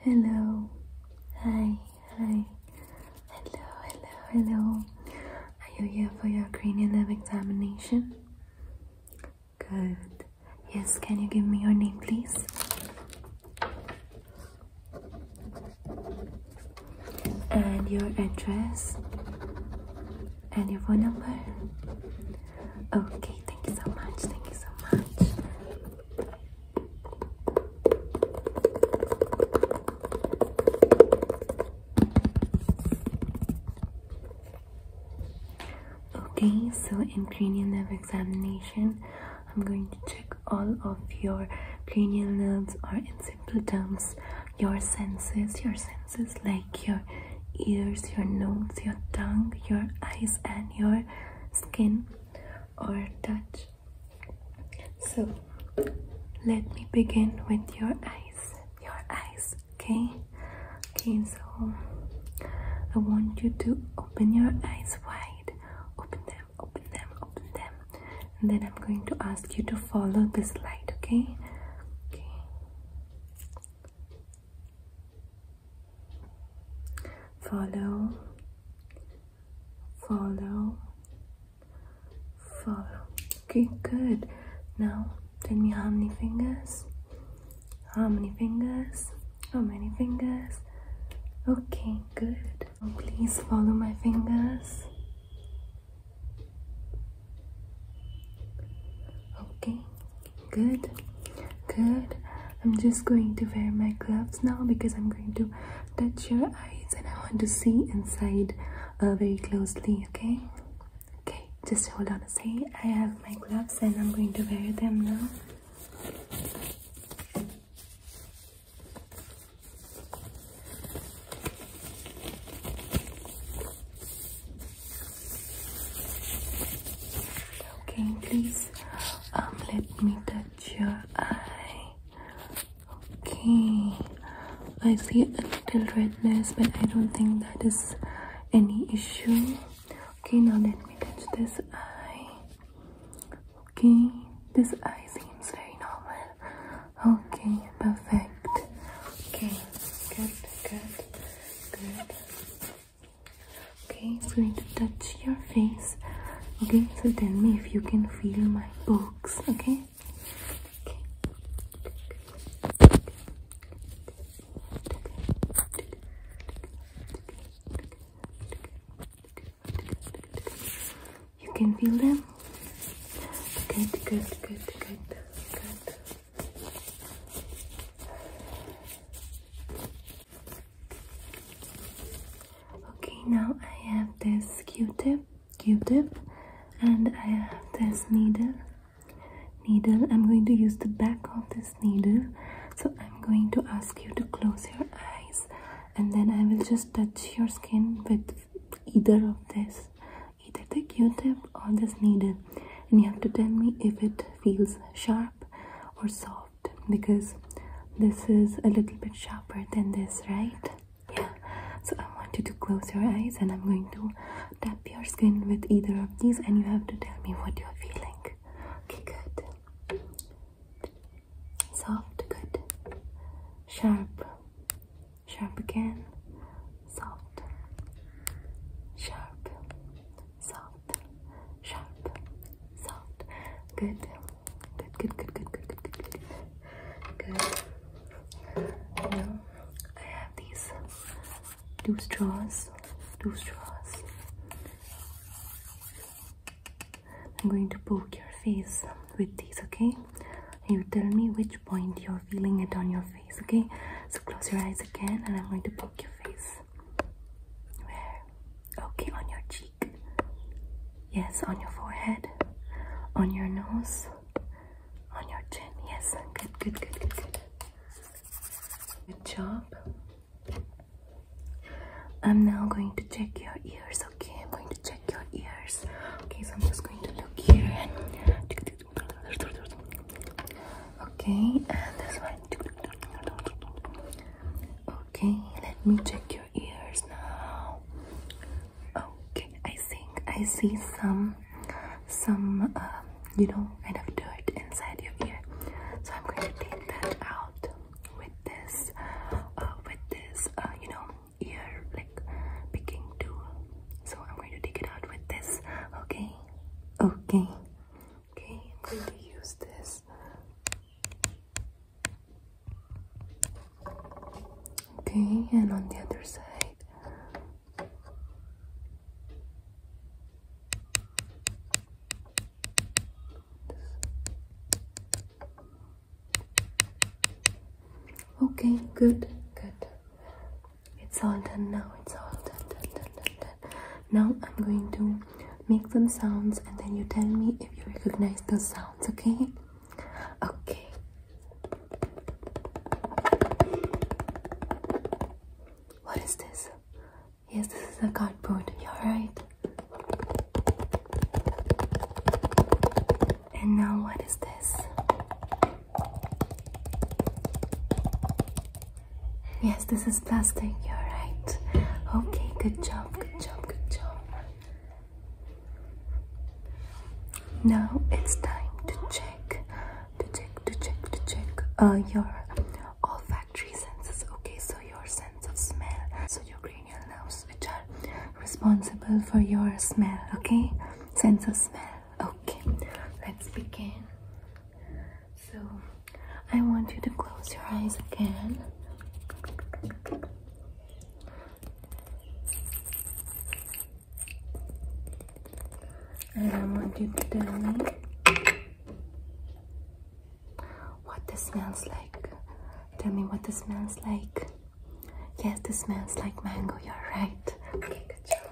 Hello, hi, hi, hello, hello, hello. Are you here for your cranial nerve examination? Good. Yes, can you give me your name, please? And your address and your phone number. Okay, thank you so much. Thank you so much. Okay, so in cranial nerve examination, I'm going to check all of your cranial nerves or in simple terms, your senses, your senses like your ears, your nose, your tongue, your eyes and your skin or touch. So let me begin with your eyes. Your eyes, okay? Okay, so I want you to open your eyes wide. Open them, open them, open them. And then I'm going to ask you to follow this light, okay? Okay follow, follow, follow. Okay, good. Now tell me how many fingers? How many fingers? How many fingers? Okay, good. please follow my fingers. Okay, Good, good. I'm just going to wear my gloves now because I'm going to touch your eyes and I want to see inside uh, very closely, okay? Okay, just hold on a second. I have my gloves and I'm going to wear them now. Okay, please um, let me touch your eye. Okay. I see a little redness, but I don't think that is any issue. Okay, now let me touch this eye. Okay, this eye seems very normal. Okay, perfect. Okay, good, good, good okay it's going to touch your face okay so tell me if you can feel my pokes okay okay you can feel them good good good good good Okay, now I have this Q-tip, Q-tip, and I have this needle. Needle. I'm going to use the back of this needle. So I'm going to ask you to close your eyes, and then I will just touch your skin with either of this, either the Q-tip or this needle, and you have to tell me if it feels sharp or soft because this is a little bit sharper than this, right? Yeah, so I want you to close your eyes and I'm going to tap your skin with either of these, and you have to tell me what you're feeling. Okay, good. Soft, good. Sharp, sharp again. Soft, sharp, soft, sharp, soft. Good. Good, good, good, good, good, good, good, good. Good. Now I have these two straws. Two straws. I'm going to poke your face with these, okay? You tell me which point you're feeling it on your face, okay? So close your eyes again and I'm going to poke your face. Where? Okay, on your cheek. Yes, on your forehead. On your nose. On your chin. Yes, good, good, good, good, good. Good job. I'm now going to check your ears, okay? I'm going to check your ears. Okay, so I'm just going to look here Okay, and this one. Okay, let me check your ears now. Okay, I think I see some, some, um, you know, kind of dirt inside your ear. So I'm going to take that out with this, uh, with this, uh, you know, ear like picking tool. So I'm going to take it out with this. Okay, okay. Okay, I'm going to use this. Okay, and on the other side. Okay, good, good. It's all done now. It's all done, now I'm going to make some sounds and then you tell me if you recognize those sounds, okay? Okay. What is this? Yes, this is a cardboard. You're right. And now what is this? Yes, this is plastic. You're right. Okay, good job, good job, good job. Now it's time to check, to check, to check, to check uh, your olfactory senses. Okay, so your sense of smell, so your cranial nerves, which are responsible for your smell. Okay, sense of smell. Okay, let's begin. So I want you to close your eyes again. And I want you to tell me what this smells like. Tell me what this smells like. Yes, this smells like mango, you're right. Okay, good job.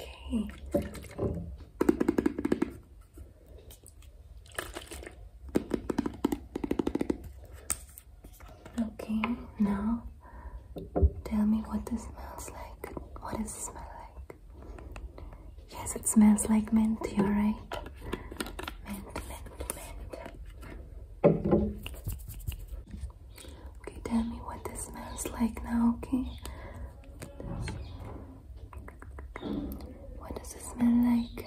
Okay. Okay, now tell me what this smells like. What does it smell like? Yes, it smells like mint, you're right. Mint, mint, mint. Okay, tell me what this smells like now, okay? What does it smell like?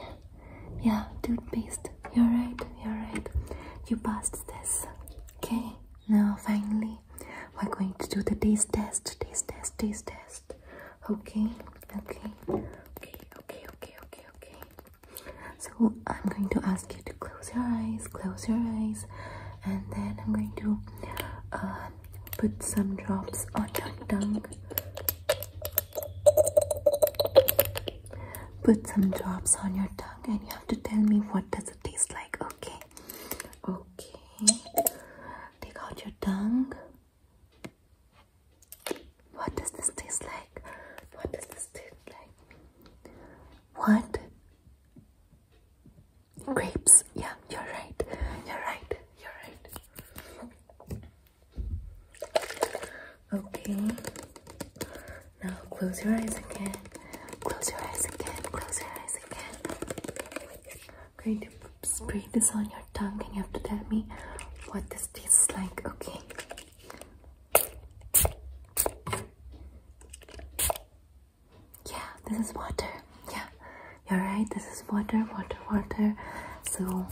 Yeah, toothpaste. You're right, you're right. You passed this. Okay, now finally, we're going to do the taste test, taste test, taste test. Okay, okay, okay, okay, okay, okay, okay. So I'm going to ask you to close your eyes, close your eyes and then I'm going to uh, put some drops on your tongue. Put some drops on your tongue, and you have to tell me what does it taste like. Okay, okay. Take out your tongue. What does this taste like? What does this taste like? What? grapes. Yeah, you're right. You're right. You're right. Okay. Now close your eyes again. Close your eyes again. Close your eyes again. I'm going to spray this on your tongue and you have to tell me what this tastes like, okay? Yeah, this is water. Yeah, you're right. This is water, water, water. So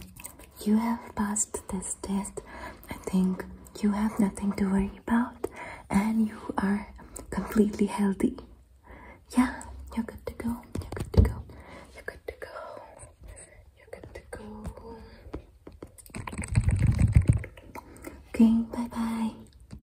you have passed this test. I think you have nothing to worry about and you are completely healthy. Yeah, you're good to go. You're good to go. You're good to go. You're good to go. Okay, bye bye.